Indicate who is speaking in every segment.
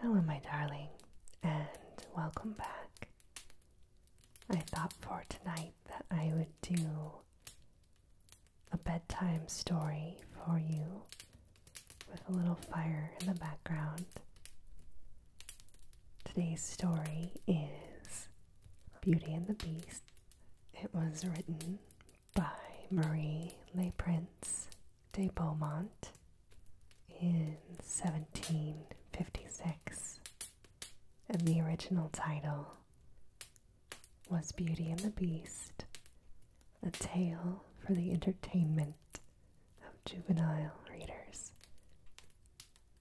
Speaker 1: Hello, my darling, and welcome back. I thought for tonight that I would do a bedtime story for you with a little fire in the background. Today's story is Beauty and the Beast. It was written by Marie Le Prince de Beaumont in 1756, and the original title was Beauty and the Beast A Tale for the Entertainment of Juvenile Readers.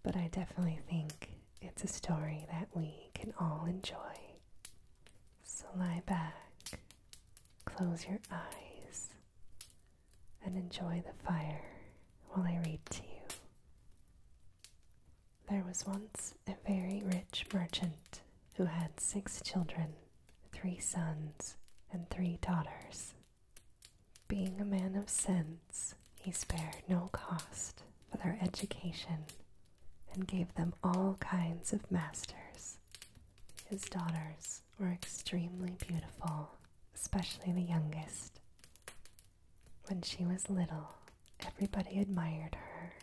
Speaker 1: But I definitely think it's a story that we can all enjoy. So lie back, close your eyes, and enjoy the fire while I read to you. There was once a very rich merchant who had six children, three sons, and three daughters. Being a man of sense, he spared no cost for their education and gave them all kinds of masters. His daughters were extremely beautiful, especially the youngest. When she was little, everybody admired her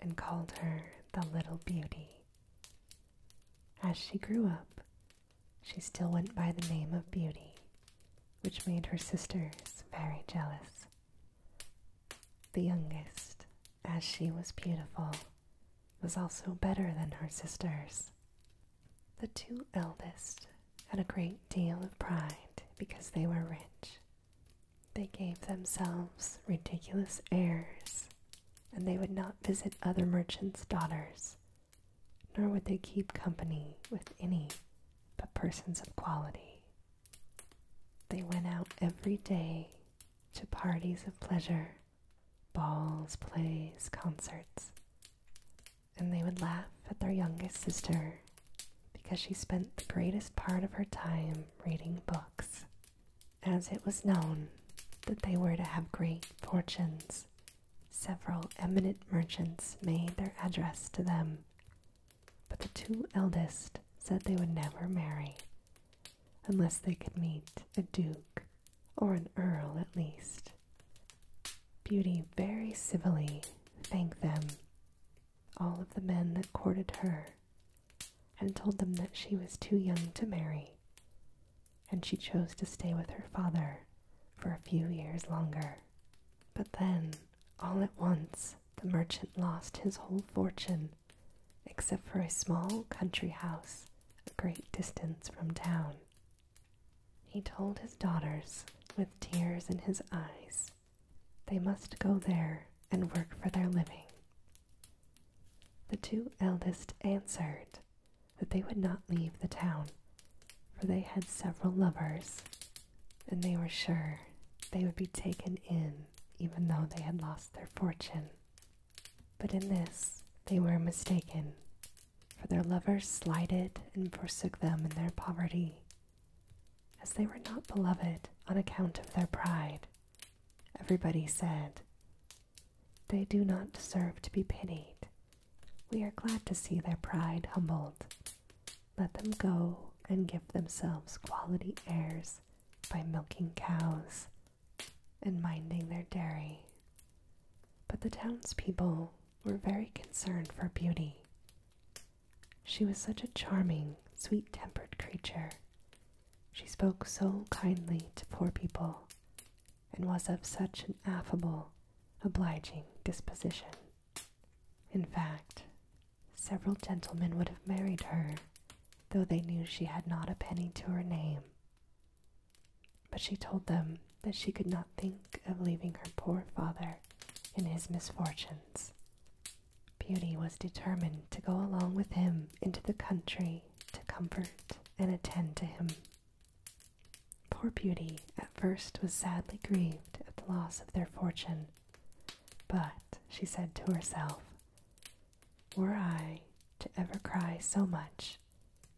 Speaker 1: and called her the Little Beauty. As she grew up, she still went by the name of Beauty, which made her sisters very jealous. The youngest, as she was beautiful, was also better than her sisters. The two eldest had a great deal of pride because they were rich. They gave themselves ridiculous airs, and they would not visit other merchants' daughters, nor would they keep company with any but persons of quality. They went out every day to parties of pleasure balls, plays, concerts. And they would laugh at their youngest sister because she spent the greatest part of her time reading books, as it was known that they were to have great fortunes. Several eminent merchants made their address to them, but the two eldest said they would never marry unless they could meet a duke or an earl at least. Beauty very civilly thanked them, all of the men that courted her, and told them that she was too young to marry, and she chose to stay with her father for a few years longer. But then, all at once, the merchant lost his whole fortune, except for a small country house a great distance from town. He told his daughters, with tears in his eyes, they must go there and work for their living. The two eldest answered that they would not leave the town, for they had several lovers, and they were sure they would be taken in even though they had lost their fortune. But in this they were mistaken, for their lovers slighted and forsook them in their poverty, as they were not beloved on account of their pride. Everybody said, They do not deserve to be pitied. We are glad to see their pride humbled. Let them go and give themselves quality airs by milking cows and minding their dairy. But the townspeople were very concerned for Beauty. She was such a charming, sweet tempered creature. She spoke so kindly to poor people and was of such an affable, obliging disposition. In fact, several gentlemen would have married her, though they knew she had not a penny to her name. But she told them that she could not think of leaving her poor father in his misfortunes. Beauty was determined to go along with him into the country to comfort and attend to him. Poor Beauty at first was sadly grieved at the loss of their fortune, but she said to herself, Were I to ever cry so much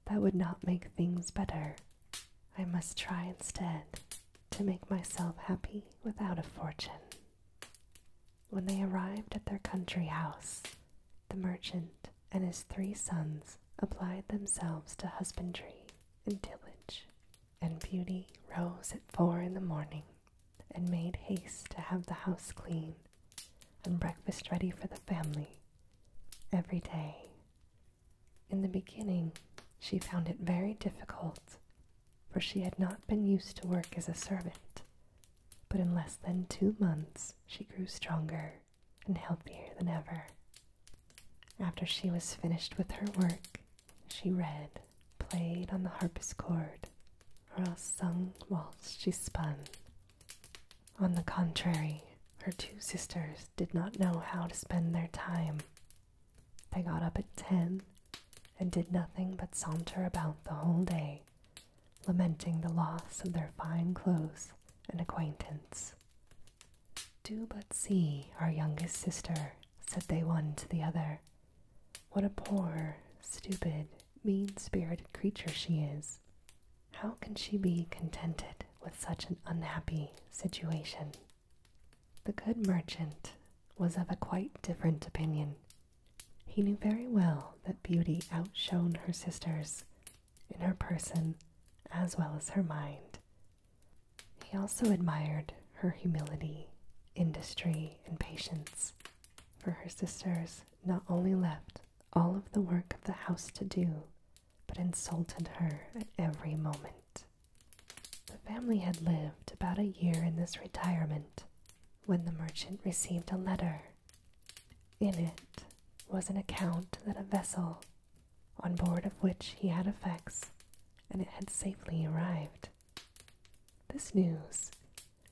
Speaker 1: that would not make things better. I must try instead to make myself happy without a fortune. When they arrived at their country house, the merchant and his three sons applied themselves to husbandry and tillage, and Beauty rose at four in the morning and made haste to have the house clean and breakfast ready for the family every day. In the beginning, she found it very difficult, for she had not been used to work as a servant. But in less than two months, she grew stronger and healthier than ever. After she was finished with her work, she read, played on the harpsichord, or else sung whilst she spun. On the contrary, her two sisters did not know how to spend their time. They got up at ten and did nothing but saunter about the whole day, lamenting the loss of their fine clothes and acquaintance. Do but see our youngest sister, said they one to the other. What a poor, stupid, mean spirited creature she is. How can she be contented with such an unhappy situation? The good merchant was of a quite different opinion. He knew very well that Beauty outshone her sisters in her person as well as her mind. He also admired her humility, industry, and patience, for her sisters not only left all of the work of the house to do, but insulted her at every moment. The family had lived about a year in this retirement when the merchant received a letter. In it was an account that a vessel, on board of which he had effects, and it had safely arrived. This news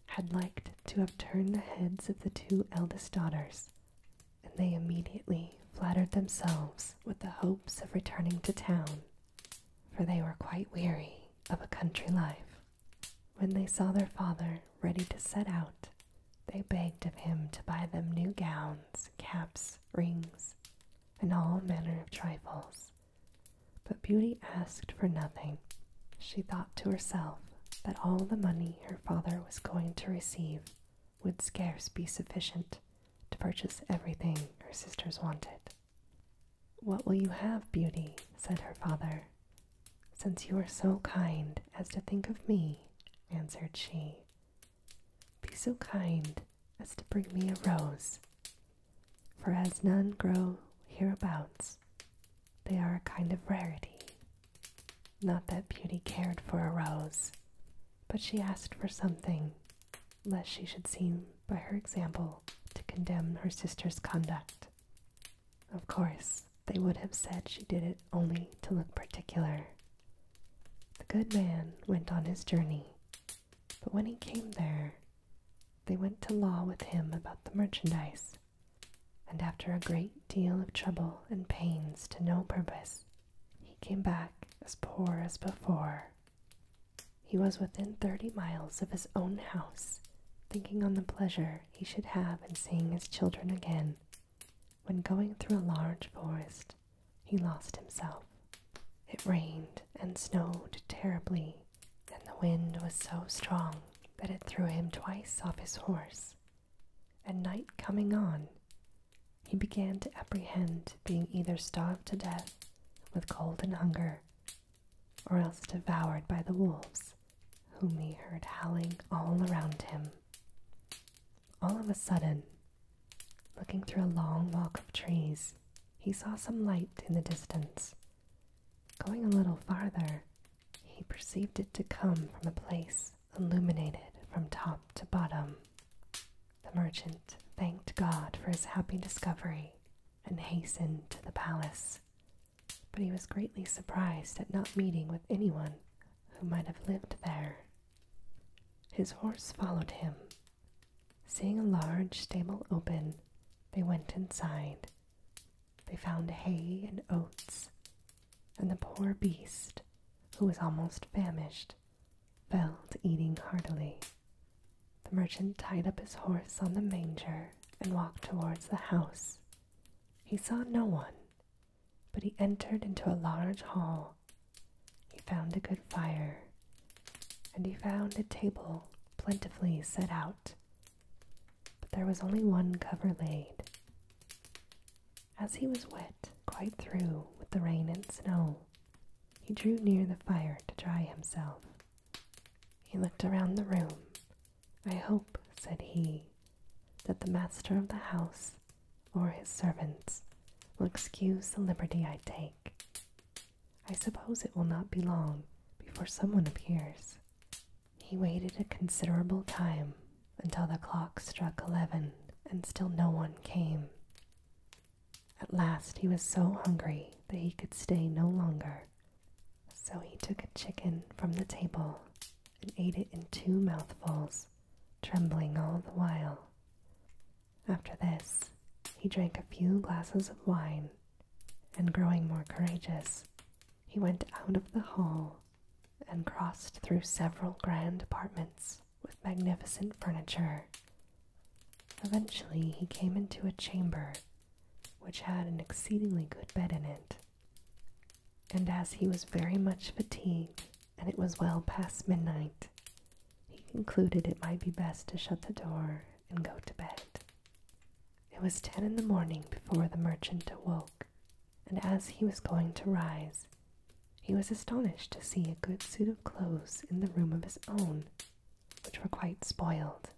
Speaker 1: had liked to have turned the heads of the two eldest daughters, and they immediately flattered themselves with the hopes of returning to town, for they were quite weary of a country life. When they saw their father ready to set out, they begged of him to buy them new gowns, caps, rings, and all manner of trifles. But Beauty asked for nothing. She thought to herself that all the money her father was going to receive would scarce be sufficient to purchase everything her sisters wanted. What will you have, Beauty? said her father. Since you are so kind as to think of me, answered she, be so kind as to bring me a rose, for as none grow hereabouts, they are a kind of rarity. Not that Beauty cared for a rose, but she asked for something, lest she should seem, by her example, to condemn her sister's conduct. Of course, they would have said she did it only to look particular. The good man went on his journey, but when he came there, they went to law with him about the merchandise, and after a great deal of trouble and pains to no purpose, he came back as poor as before. He was within thirty miles of his own house, thinking on the pleasure he should have in seeing his children again, when going through a large forest, he lost himself. It rained and snowed terribly, and the wind was so strong that it threw him twice off his horse and night coming on, he began to apprehend being either starved to death with cold and hunger, or else devoured by the wolves, whom he heard howling all around him. All of a sudden, looking through a long walk of trees, he saw some light in the distance. Going a little farther, he perceived it to come from a place illuminated from top to bottom. The merchant thanked God for his happy discovery and hastened to the palace, but he was greatly surprised at not meeting with anyone who might have lived there. His horse followed him. Seeing a large stable open, they went inside. They found hay and oats and the poor beast, who was almost famished, fell to eating heartily. The merchant tied up his horse on the manger and walked towards the house. He saw no one, but he entered into a large hall. He found a good fire, and he found a table plentifully set out. But there was only one cover laid. As he was wet quite through with the rain and snow, he drew near the fire to dry himself. He looked around the room. I hope, said he, that the master of the house or his servants will excuse the liberty I take. I suppose it will not be long before someone appears. He waited a considerable time until the clock struck eleven, and still no one came. At last he was so hungry that he could stay no longer, so he took a chicken from the table and ate it in two mouthfuls, trembling all the while. After this, he drank a few glasses of wine, and growing more courageous, he went out of the hall and crossed through several grand apartments with magnificent furniture. Eventually, he came into a chamber which had an exceedingly good bed in it. And as he was very much fatigued, and it was well past midnight, he concluded it might be best to shut the door and go to bed. It was ten in the morning before the merchant awoke and as he was going to rise, he was astonished to see a good suit of clothes in the room of his own, which were quite spoiled.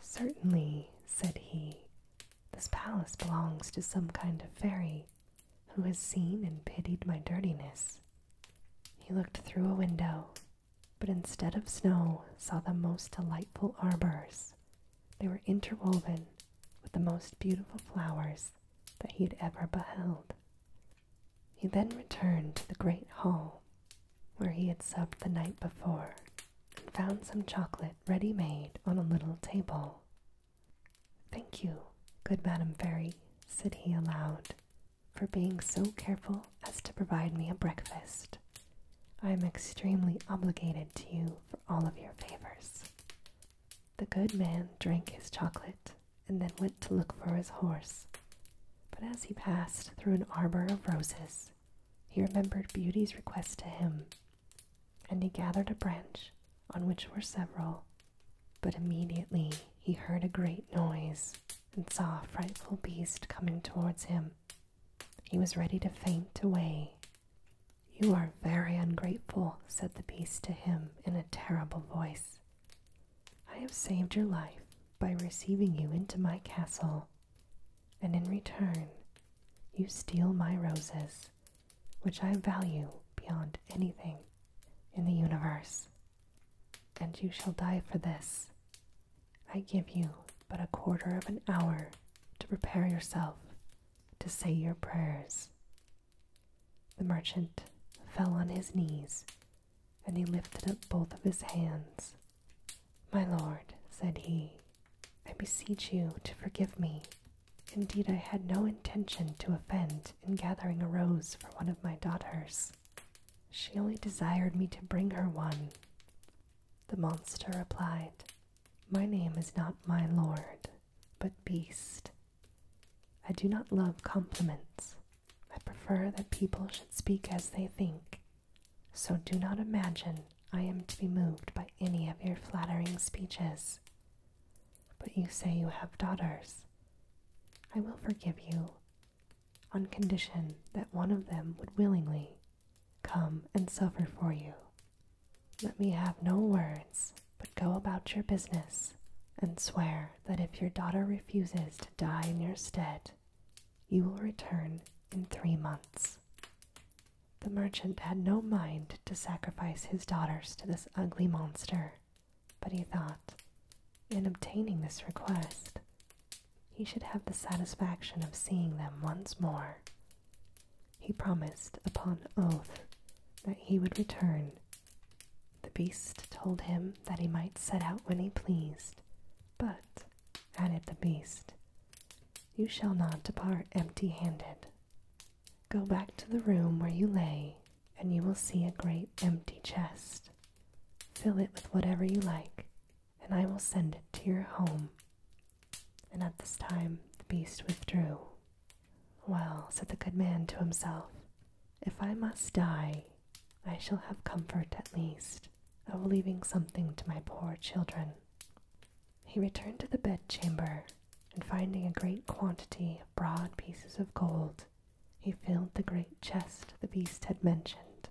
Speaker 1: Certainly, said he, this palace belongs to some kind of fairy who has seen and pitied my dirtiness. He looked through a window, but instead of snow, saw the most delightful arbors they were interwoven with the most beautiful flowers that he had ever beheld. He then returned to the great hall where he had supped the night before and found some chocolate ready made on a little table. Thank you, good Madam Fairy, said he aloud, for being so careful as to provide me a breakfast. I am extremely obligated to you for all of your favors. The good man drank his chocolate and then went to look for his horse. But as he passed through an arbor of roses, he remembered Beauty's request to him, and he gathered a branch on which were several. But immediately he heard a great noise and saw a frightful beast coming towards him. He was ready to faint away you are very ungrateful, said the beast to him in a terrible voice. I have saved your life by receiving you into my castle, and in return, you steal my roses, which I value beyond anything in the universe. And you shall die for this. I give you but a quarter of an hour to prepare yourself to say your prayers. The merchant fell on his knees, and he lifted up both of his hands. My lord, said he, I beseech you to forgive me. Indeed, I had no intention to offend in gathering a rose for one of my daughters. She only desired me to bring her one. The monster replied, My name is not my lord, but beast. I do not love compliments. I prefer that people should speak as they think. So do not imagine I am to be moved by any of your flattering speeches. But you say you have daughters. I will forgive you, on condition that one of them would willingly come and suffer for you let me have no words, but go about your business, and swear that if your daughter refuses to die in your stead, you will return in three months. The merchant had no mind to sacrifice his daughters to this ugly monster, but he thought, in obtaining this request, he should have the satisfaction of seeing them once more he promised upon oath that he would return. The beast told him that he might set out when he pleased, but, added the beast, you shall not depart empty handed. Go back to the room where you lay, and you will see a great empty chest. Fill it with whatever you like, and I will send it to your home. And at this time the beast withdrew. Well, said the good man to himself, if I must die, I shall have comfort at least of leaving something to my poor children. He returned to the bedchamber, and finding a great quantity of broad pieces of gold, he filled the great chest the beast had mentioned.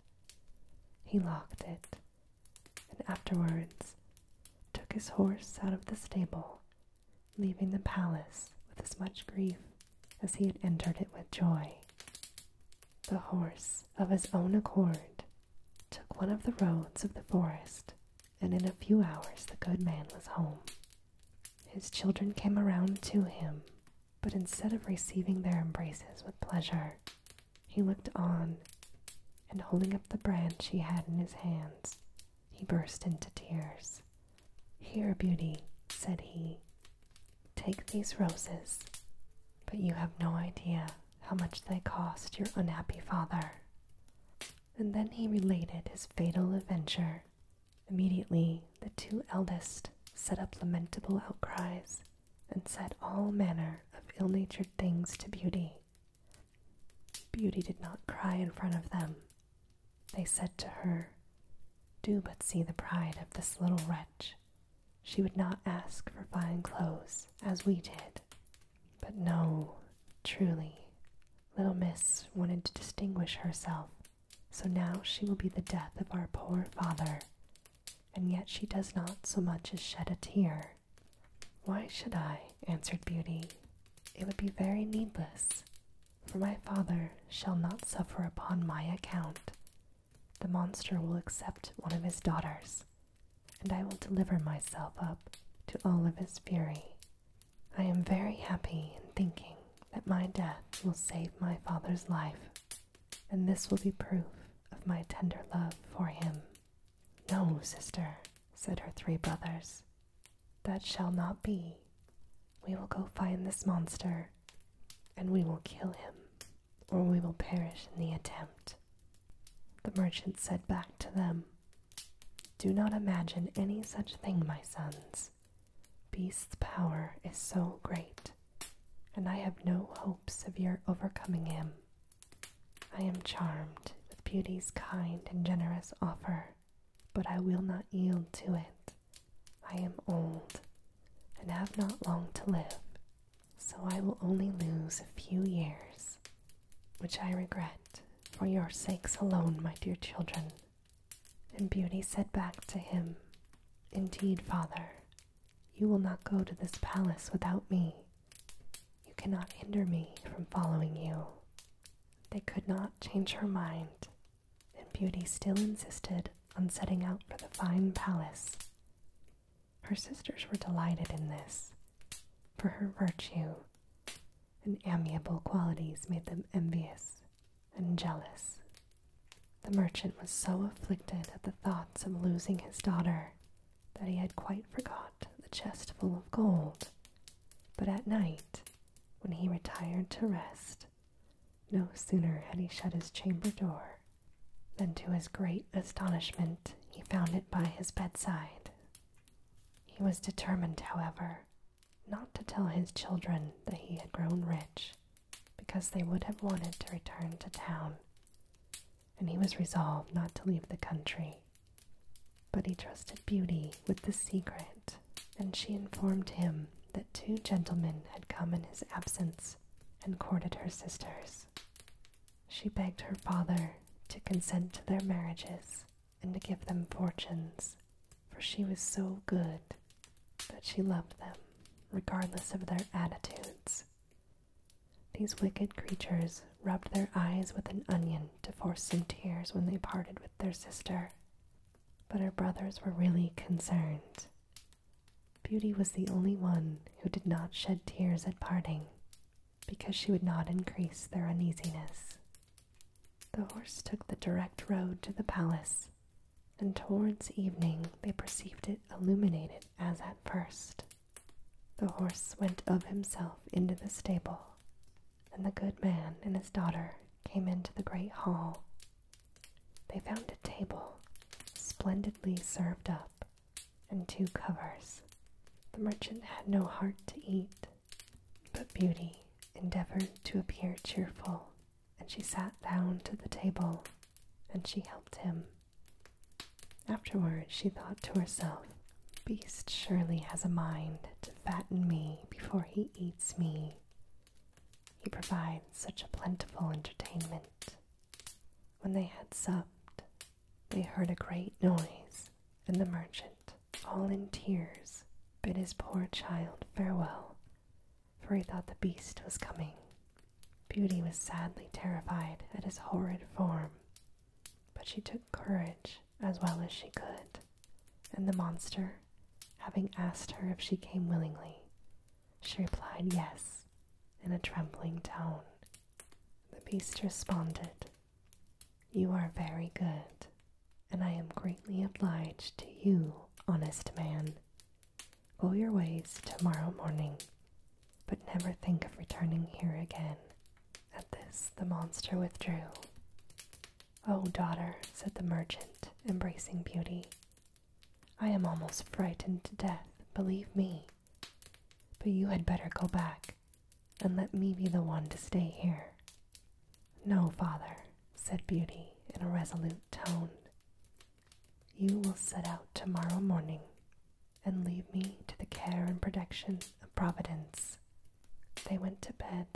Speaker 1: He locked it, and afterwards took his horse out of the stable leaving the palace with as much grief as he had entered it with joy. The horse, of his own accord, took one of the roads of the forest, and in a few hours the good man was home. His children came around to him, but instead of receiving their embraces with pleasure, he looked on, and holding up the branch he had in his hands, he burst into tears. Here, Beauty, said he, take these roses, but you have no idea how much they cost your unhappy father. And then he related his fatal adventure. Immediately, the two eldest set up lamentable outcries and said all manner of ill natured things to Beauty, Beauty did not cry in front of them. They said to her, Do but see the pride of this little wretch. She would not ask for fine clothes, as we did. But no, truly, little miss wanted to distinguish herself, so now she will be the death of our poor father. And yet she does not so much as shed a tear. Why should I? answered Beauty. It would be very needless, for my father shall not suffer upon my account. The monster will accept one of his daughters, and I will deliver myself up to all of his fury. I am very happy in thinking that my death will save my father's life, and this will be proof of my tender love for him. No, sister, said her three brothers, that shall not be. We will go find this monster, and we will kill him, or we will perish in the attempt. The merchant said back to them, Do not imagine any such thing, my sons. Beast's power is so great, and I have no hopes of your overcoming him. I am charmed with Beauty's kind and generous offer but I will not yield to it. I am old and have not long to live, so I will only lose a few years, which I regret for your sakes alone, my dear children. And Beauty said back to him, Indeed, father, you will not go to this palace without me. You cannot hinder me from following you. They could not change her mind, and Beauty still insisted on setting out for the fine palace. Her sisters were delighted in this, for her virtue and amiable qualities made them envious and jealous. The merchant was so afflicted at the thoughts of losing his daughter that he had quite forgot the chest full of gold but at night, when he retired to rest, no sooner had he shut his chamber door than to his great astonishment he found it by his bedside. He was determined, however, not to tell his children that he had grown rich, because they would have wanted to return to town, and he was resolved not to leave the country but he trusted Beauty with the secret, and she informed him that two gentlemen had come in his absence and courted her sisters. She begged her father to consent to their marriages and to give them fortunes, for she was so good that she loved them, regardless of their attitudes. These wicked creatures rubbed their eyes with an onion to force some tears when they parted with their sister, but her brothers were really concerned. Beauty was the only one who did not shed tears at parting, because she would not increase their uneasiness. The horse took the direct road to the palace, and towards evening they perceived it illuminated as at first. The horse went of himself into the stable, and the good man and his daughter came into the great hall. They found a table splendidly served up and two covers. The merchant had no heart to eat, but Beauty endeavored to appear cheerful, and she sat down to the table and she helped him. Afterward, she thought to herself, Beast surely has a mind to fatten me before he eats me. He provides such a plentiful entertainment. When they had supped, they heard a great noise, and the merchant, all in tears, bid his poor child farewell, for he thought the beast was coming. Beauty was sadly terrified at his horrid form, but she took courage as well as she could, and the monster, having asked her if she came willingly, she replied yes in a trembling tone. The beast responded, You are very good, and I am greatly obliged to you, honest man. Go your ways tomorrow morning, but never think of returning here again. At this, the monster withdrew. Oh, daughter, said the merchant, embracing Beauty, I am almost frightened to death, believe me. But you had better go back, and let me be the one to stay here. No, father, said Beauty in a resolute tone. You will set out tomorrow morning and leave me to the care and protection of Providence they went to bed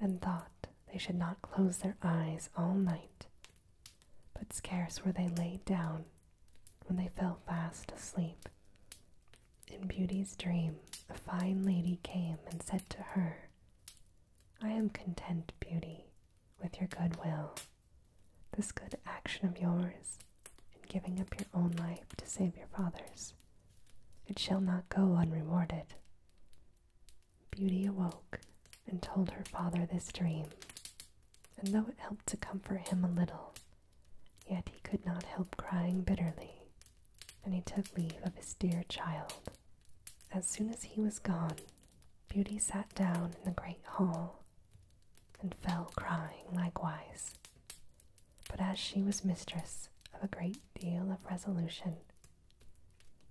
Speaker 1: and thought they should not close their eyes all night. But scarce were they laid down when they fell fast asleep. In Beauty's dream, a fine lady came and said to her, I am content, Beauty, with your good will. This good action of yours, in giving up your own life to save your father's, it shall not go unrewarded. Beauty awoke and told her father this dream, and though it helped to comfort him a little, yet he could not help crying bitterly, and he took leave of his dear child. As soon as he was gone, Beauty sat down in the great hall and fell crying likewise but as she was mistress of a great deal of resolution,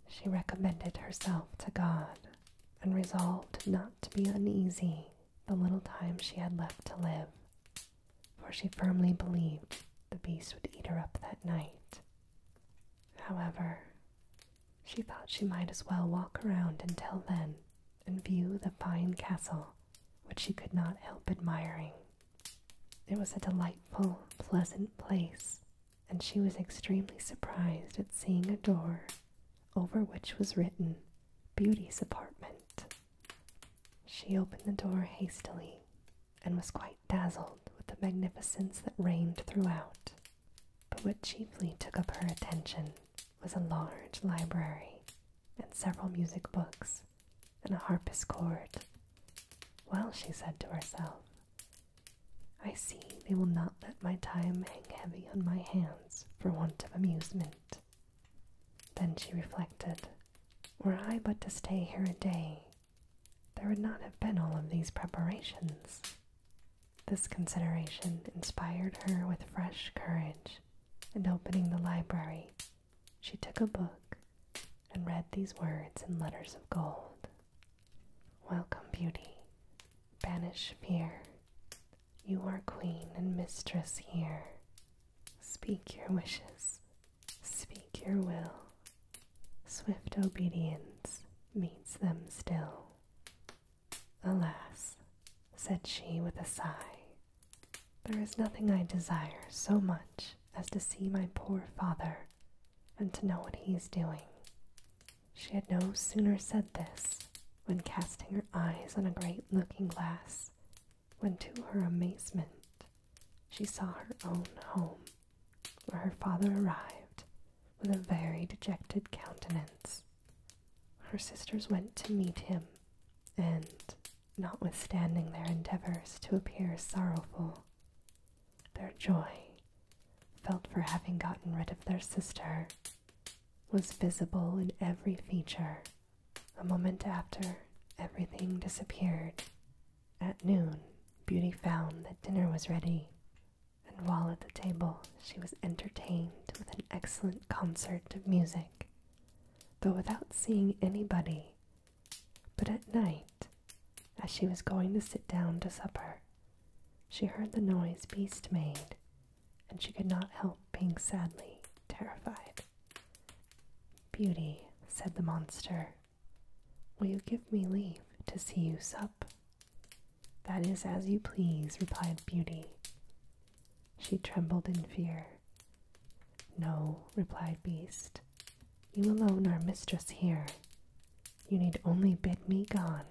Speaker 1: she recommended herself to God and resolved not to be uneasy the little time she had left to live, for she firmly believed the beast would eat her up that night. However, she thought she might as well walk around until then and view the fine castle which she could not help admiring. It was a delightful, pleasant place, and she was extremely surprised at seeing a door over which was written Beauty's Apartment. She opened the door hastily and was quite dazzled with the magnificence that reigned throughout. But what chiefly took up her attention was a large library and several music books strings and a harpsichord. Well, she said to herself, I see they will not let my time hang heavy on my hands for want of amusement. Then she reflected, Were I but to stay here a day, there would not have been all of these preparations. This consideration inspired her with fresh courage, and opening the library, she took a book and read these words in letters of gold Welcome, beauty. Banish fear. You are queen and mistress here. Speak your wishes. Speak your will. Swift obedience meets them still. Alas, said she with a sigh, there is nothing I desire so much as to see my poor father and to know what he is doing. She had no sooner said this when casting her eyes on a great looking glass, when to her amazement she saw her own home, where her father arrived with a very dejected countenance. Her sisters went to meet him, and notwithstanding their endeavors to appear sorrowful. Their joy, felt for having gotten rid of their sister, was visible in every feature. A moment after, everything disappeared. At noon, Beauty found that dinner was ready, and while at the table, she was entertained with an excellent concert of music, though without seeing anybody but at night, as she was going to sit down to supper, she heard the noise Beast made, and she could not help being sadly terrified. Beauty, said the monster, will you give me leave to see you sup? That is as you please, replied Beauty. She trembled in fear no, replied Beast. You alone are mistress here. You need only bid me gone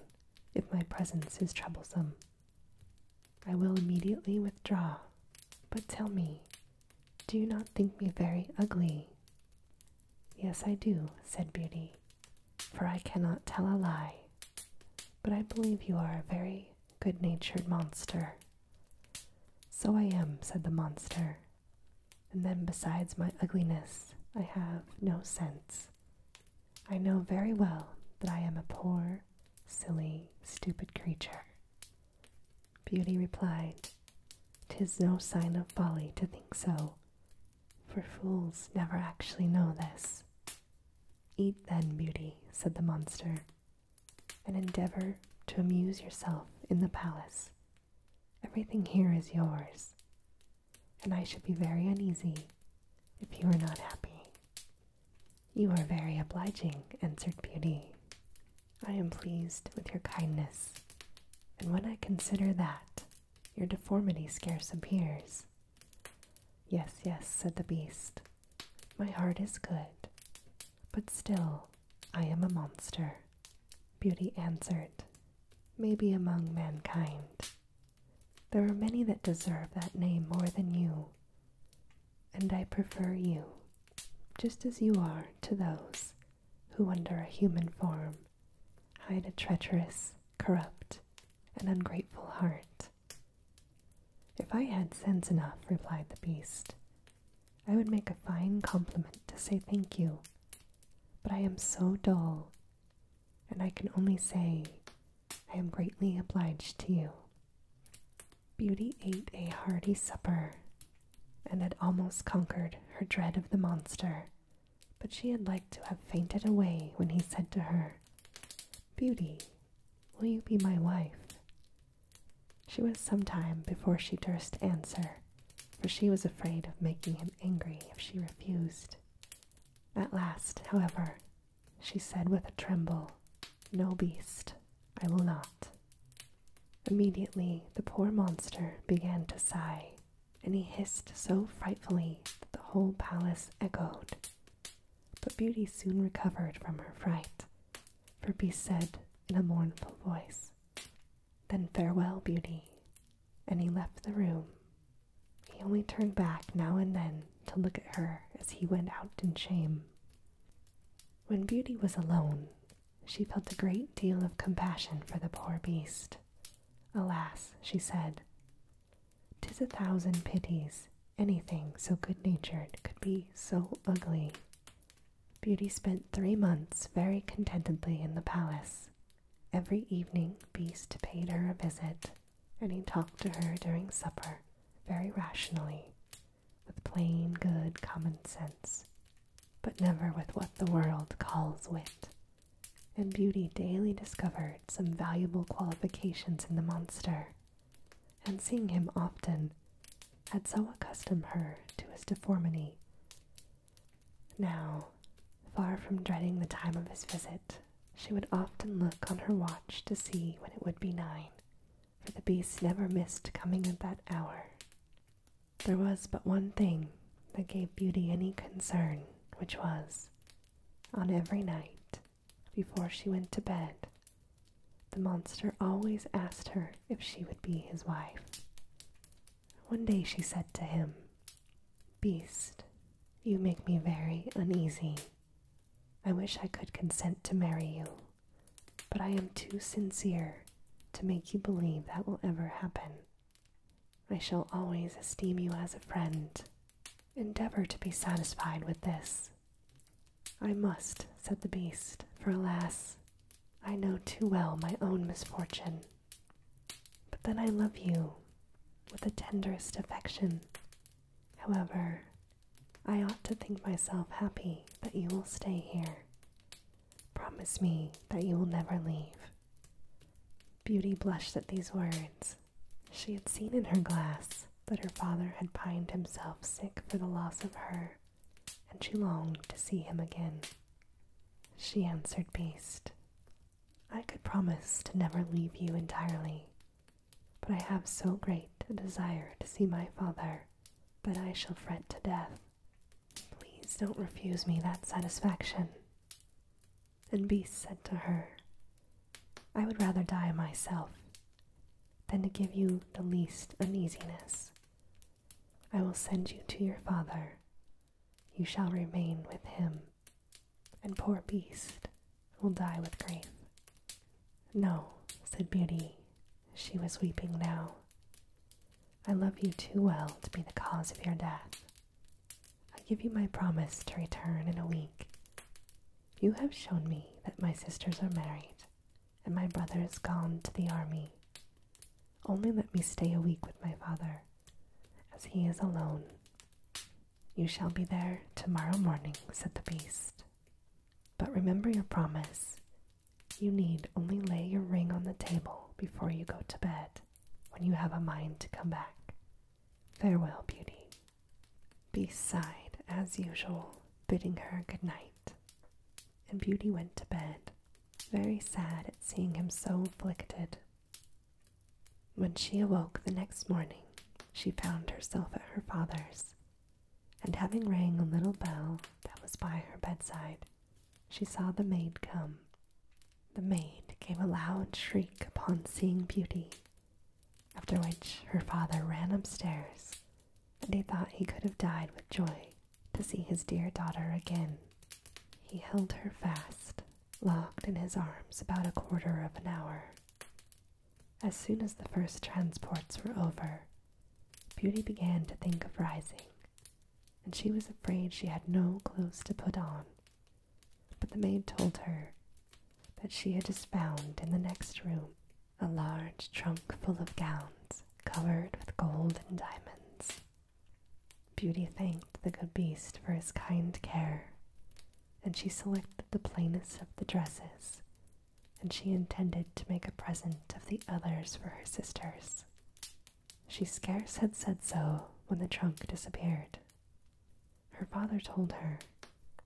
Speaker 1: if my presence is troublesome. I will immediately withdraw, but tell me, do you not think me very ugly? Yes, I do, said Beauty, for I cannot tell a lie. But I believe you are a very good natured monster. So I am, said the monster. And then besides my ugliness, I have no sense. I know very well that I am a poor, silly, stupid creature. Beauty replied, Tis no sign of folly to think so, for fools never actually know this. Eat then, Beauty, said the monster, and endeavor to amuse yourself in the palace Everything here is yours, and I should be very uneasy if you were not happy. You are very obliging, answered Beauty. I am pleased with your kindness, and when I consider that, your deformity scarce appears. Yes, yes, said the beast, my heart is good, but still, I am a monster. Beauty answered, Maybe among mankind. There are many that deserve that name more than you, and I prefer you, just as you are, to those who, under a human form, hide a treacherous, corrupt, and ungrateful heart. If I had sense enough, replied the beast, I would make a fine compliment to say thank you, but I am so dull, and I can only say I am greatly obliged to you. Beauty ate a hearty supper and had almost conquered her dread of the monster, but she had liked to have fainted away when he said to her, Beauty, will you be my wife? She was some time before she durst answer, for she was afraid of making him angry if she refused. At last, however, she said with a tremble, No beast, I will not. Immediately the poor monster began to sigh, and he hissed so frightfully that the whole palace echoed. But Beauty soon recovered from her fright, for Beast said in a mournful voice, then farewell, beauty. And he left the room. He only turned back now and then to look at her as he went out in shame. When Beauty was alone, she felt a great deal of compassion for the poor beast. Alas, she said, "'Tis a thousand pities anything so good-natured could be so ugly. Beauty spent three months very contentedly in the palace. Every evening, Beast paid her a visit, and he talked to her during supper very rationally, with plain, good common sense, but never with what the world calls wit. And Beauty daily discovered some valuable qualifications in the monster, and seeing him often had so accustomed her to his deformity now, far from dreading the time of his visit, she would often look on her watch to see when it would be nine, for the beast never missed coming at that hour. There was but one thing that gave Beauty any concern, which was, on every night, before she went to bed, the monster always asked her if she would be his wife. One day she said to him, Beast, you make me very uneasy. I wish I could consent to marry you, but I am too sincere to make you believe that will ever happen. I shall always esteem you as a friend. Endeavor to be satisfied with this. I must, said the beast, for alas, I know too well my own misfortune, but then I love you with the tenderest affection. However, I ought to think myself happy that you will stay here. Promise me that you will never leave. Beauty blushed at these words. She had seen in her glass that her father had pined himself sick for the loss of her, and she longed to see him again. She answered Beast, I could promise to never leave you entirely, but I have so great a desire to see my father that I shall fret to death. Please don't refuse me that satisfaction. And Beast said to her, I would rather die myself than to give you the least uneasiness I will send you to your father. You shall remain with him, and poor Beast will die with grief. No, said Beauty. She was weeping now. I love you too well to be the cause of your death. I give you my promise to return in a week. You have shown me that my sisters are married, and my brother is gone to the army. Only let me stay a week with my father, as he is alone. You shall be there tomorrow morning, said the beast. But remember your promise. You need only lay your ring on the table before you go to bed, when you have a mind to come back. Farewell, beauty. Beast sighed, as usual, bidding her good night and Beauty went to bed, very sad at seeing him so afflicted. When she awoke the next morning, she found herself at her father's, and having rang a little bell that was by her bedside, she saw the maid come. The maid gave a loud shriek upon seeing Beauty, after which her father ran upstairs, and he thought he could have died with joy to see his dear daughter again. He held her fast, locked in his arms, about a quarter of an hour. As soon as the first transports were over, Beauty began to think of rising, and she was afraid she had no clothes to put on. But the maid told her that she had just found in the next room a large trunk full of gowns covered with gold and diamonds. Beauty thanked the good beast for his kind care, and she selected the plainest of the dresses, and she intended to make a present of the others for her sisters. She scarce had said so when the trunk disappeared. Her father told her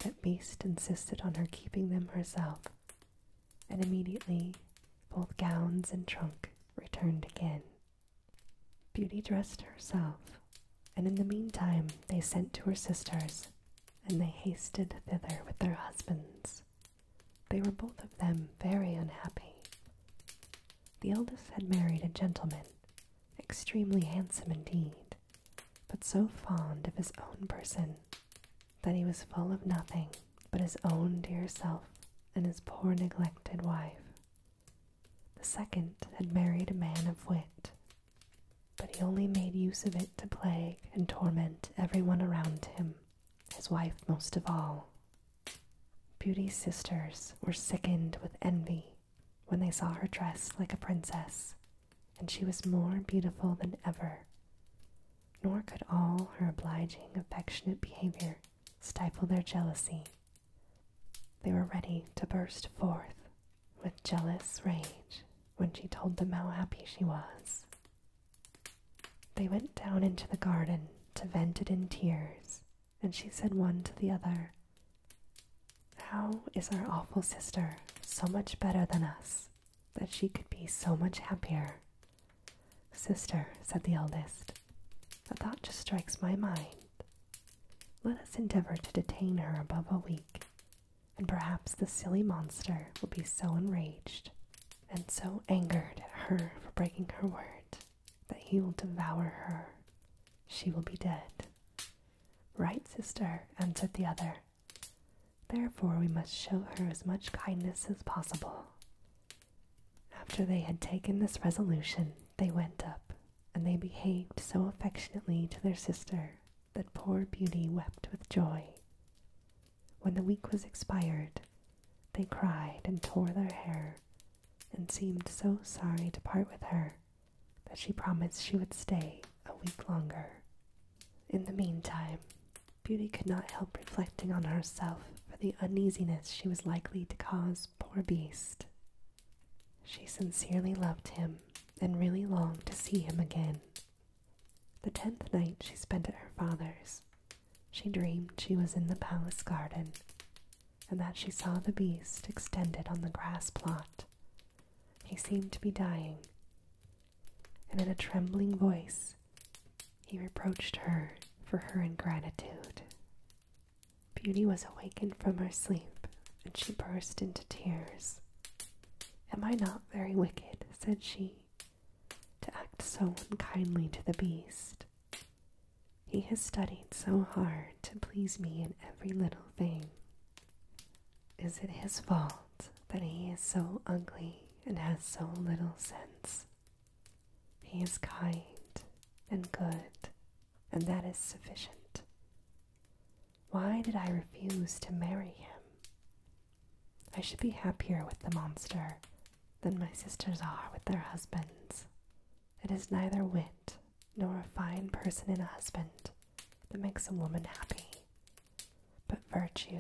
Speaker 1: that Beast insisted on her keeping them herself and immediately both gowns and trunk returned again. Beauty dressed herself, and in the meantime they sent to her sisters, and they hasted thither with their husbands. They were both of them very unhappy. The eldest had married a gentleman, extremely handsome indeed, but so fond of his own person that he was full of nothing but his own dear self and his poor neglected wife. The second had married a man of wit, but he only made use of it to plague and torment everyone around him, his wife most of all. Beauty's sisters were sickened with envy when they saw her dressed like a princess, and she was more beautiful than ever. Nor could all her obliging, affectionate behavior stifle their jealousy. They were ready to burst forth with jealous rage when she told them how happy she was. They went down into the garden to vent it in tears, and she said one to the other, How is our awful sister so much better than us that she could be so much happier Sister, said the eldest, a thought just strikes my mind. Let us endeavor to detain her above a week, and perhaps the silly monster will be so enraged and so angered at her for breaking her word that he will devour her. She will be dead. Right, sister, answered the other. Therefore, we must show her as much kindness as possible. After they had taken this resolution, they went up, and they behaved so affectionately to their sister that poor Beauty wept with joy. When the week was expired, they cried and tore their hair, and seemed so sorry to part with her that she promised she would stay a week longer. In the meantime, Beauty could not help reflecting on herself for the uneasiness she was likely to cause poor Beast. She sincerely loved him and really longed to see him again. The tenth night she spent at her father's, she dreamed she was in the palace garden and that she saw the beast extended on the grass plot. He seemed to be dying, and in a trembling voice he reproached her for her ingratitude. Beauty was awakened from her sleep, and she burst into tears. Am I not very wicked, said she, to act so unkindly to the beast? He has studied so hard to please me in every little thing. Is it his fault that he is so ugly and has so little sense? He is kind and good, and that is sufficient. Why did I refuse to marry him? I should be happier with the monster than my sisters are with their husbands. It is neither wit nor a fine person in a husband that makes a woman happy, but virtue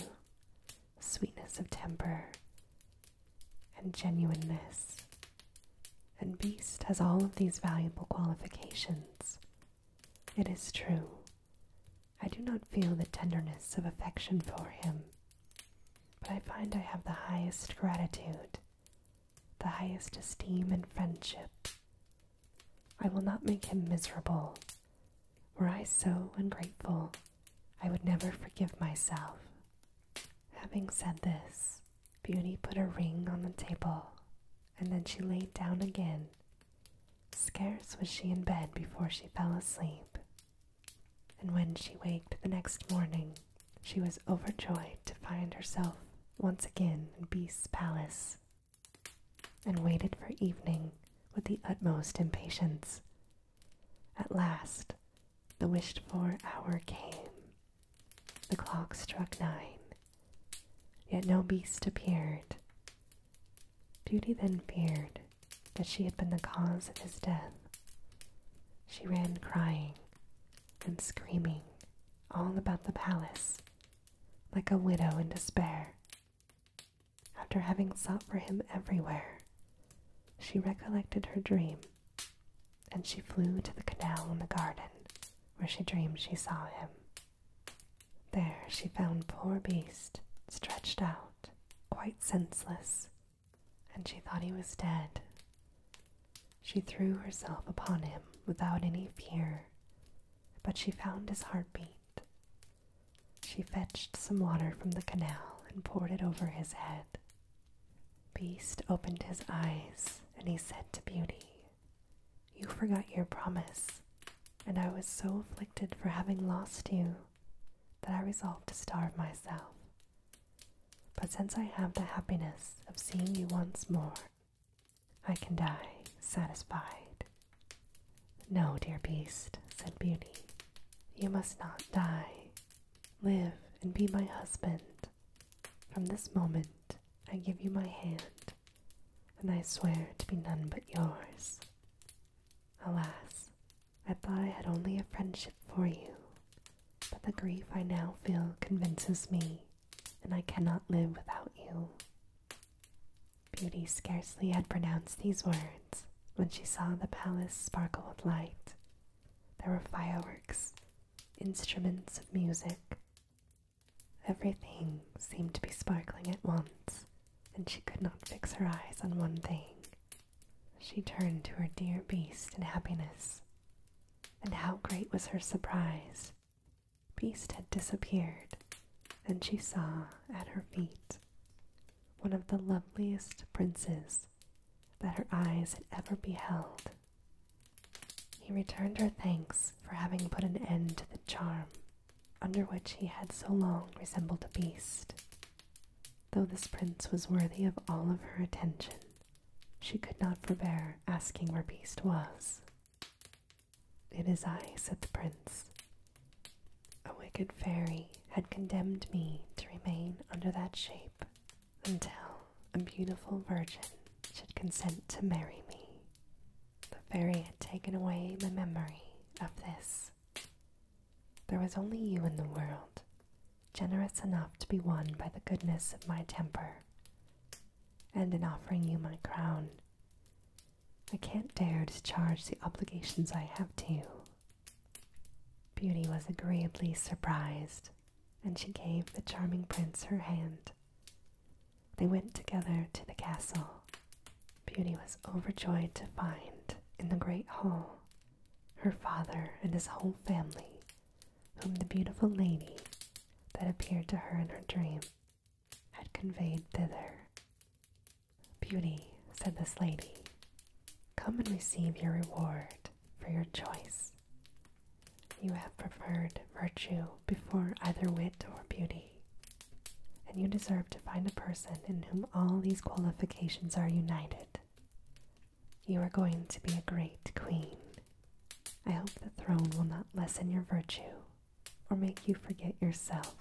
Speaker 1: sweetness of temper, and genuineness. And Beast has all of these valuable qualifications. It is true, I do not feel the tenderness of affection for him, but I find I have the highest gratitude, the highest esteem and friendship. I will not make him miserable. Were I so ungrateful, I would never forgive myself. Having said this, Beauty put a ring on the table, and then she lay down again. Scarce was she in bed before she fell asleep, and when she waked the next morning, she was overjoyed to find herself once again in Beast's palace, and waited for evening with the utmost impatience, at last, the wished for hour came. The clock struck nine, yet no beast appeared. Beauty then feared that she had been the cause of his death. She ran crying and screaming all about the palace, like a widow in despair. After having sought for him everywhere, she recollected her dream and she flew to the canal in the garden, where she dreamed she saw him. There she found poor Beast stretched out, quite senseless, and she thought he was dead. She threw herself upon him without any fear, but she found his heart beat. She fetched some water from the canal and poured it over his head. Beast opened his eyes, and he said to Beauty, You forgot your promise, and I was so afflicted for having lost you that I resolved to starve myself. But since I have the happiness of seeing you once more, I can die satisfied. No, dear beast, said Beauty, you must not die. Live and be my husband. From this moment, I give you my hand, and I swear to be none but yours. Alas, I thought I had only a friendship for you, but the grief I now feel convinces me, and I cannot live without you. Beauty scarcely had pronounced these words when she saw the palace sparkle with light there were fireworks, instruments of music. Everything seemed to be sparkling at once, and she could not fix her eyes on one thing. She turned to her dear beast in happiness, and how great was her surprise! Beast had disappeared, and she saw at her feet one of the loveliest princes that her eyes had ever beheld. He returned her thanks for having put an end to the charm under which he had so long resembled a beast. Though this prince was worthy of all of her attention, she could not forbear asking where Beast was. It is I, said the prince. A wicked fairy had condemned me to remain under that shape until a beautiful virgin should consent to marry me. The fairy had taken away my memory of this. There was only you in the world, generous enough to be won by the goodness of my temper, and in offering you my crown. I can't dare discharge the obligations I have to you Beauty was agreeably surprised, and she gave the charming prince her hand. They went together to the castle. Beauty was overjoyed to find, in the great hall, her father and his whole family, whom the beautiful lady that appeared to her in her dream had conveyed thither. Beauty, said this lady, Come and receive your reward for your choice. You have preferred virtue before either wit or beauty, and you deserve to find a person in whom all these qualifications are united. You are going to be a great queen. I hope the throne will not lessen your virtue or make you forget yourself.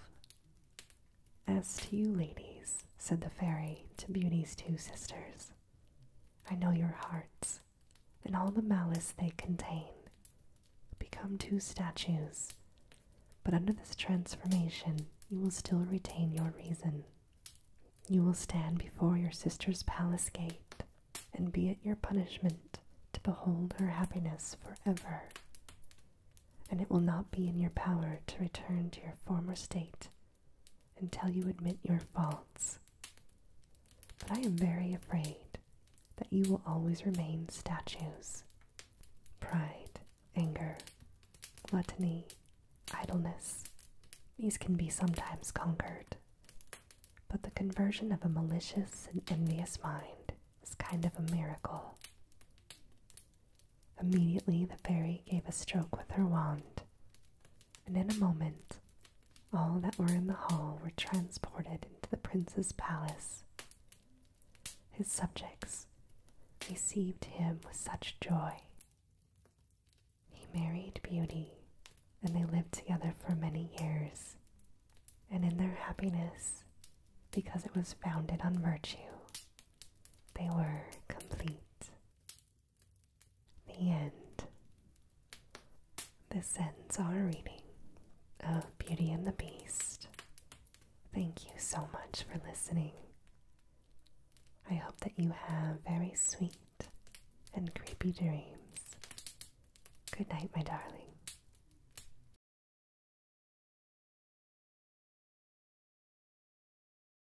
Speaker 1: As to you, ladies, said the fairy to Beauty's two sisters, I know your hearts and all the malice they contain. Become two statues, but under this transformation you will still retain your reason. You will stand before your sister's palace gate and be it your punishment to behold her happiness forever. And it will not be in your power to return to your former state until you admit your faults. But I am very afraid that you will always remain statues. Pride, anger, gluttony, idleness, these can be sometimes conquered. But the conversion of a malicious and envious mind is kind of a miracle. Immediately the fairy gave a stroke with her wand, and in a moment all that were in the hall were transported into the prince's palace. His subjects received him with such joy. He married Beauty, and they lived together for many years, and in their happiness, because it was founded on virtue, they were complete. The end. This ends our reading of oh, Beauty and the Beast. Thank you so much for listening. I hope that you have very sweet and creepy dreams. Good night, my darling.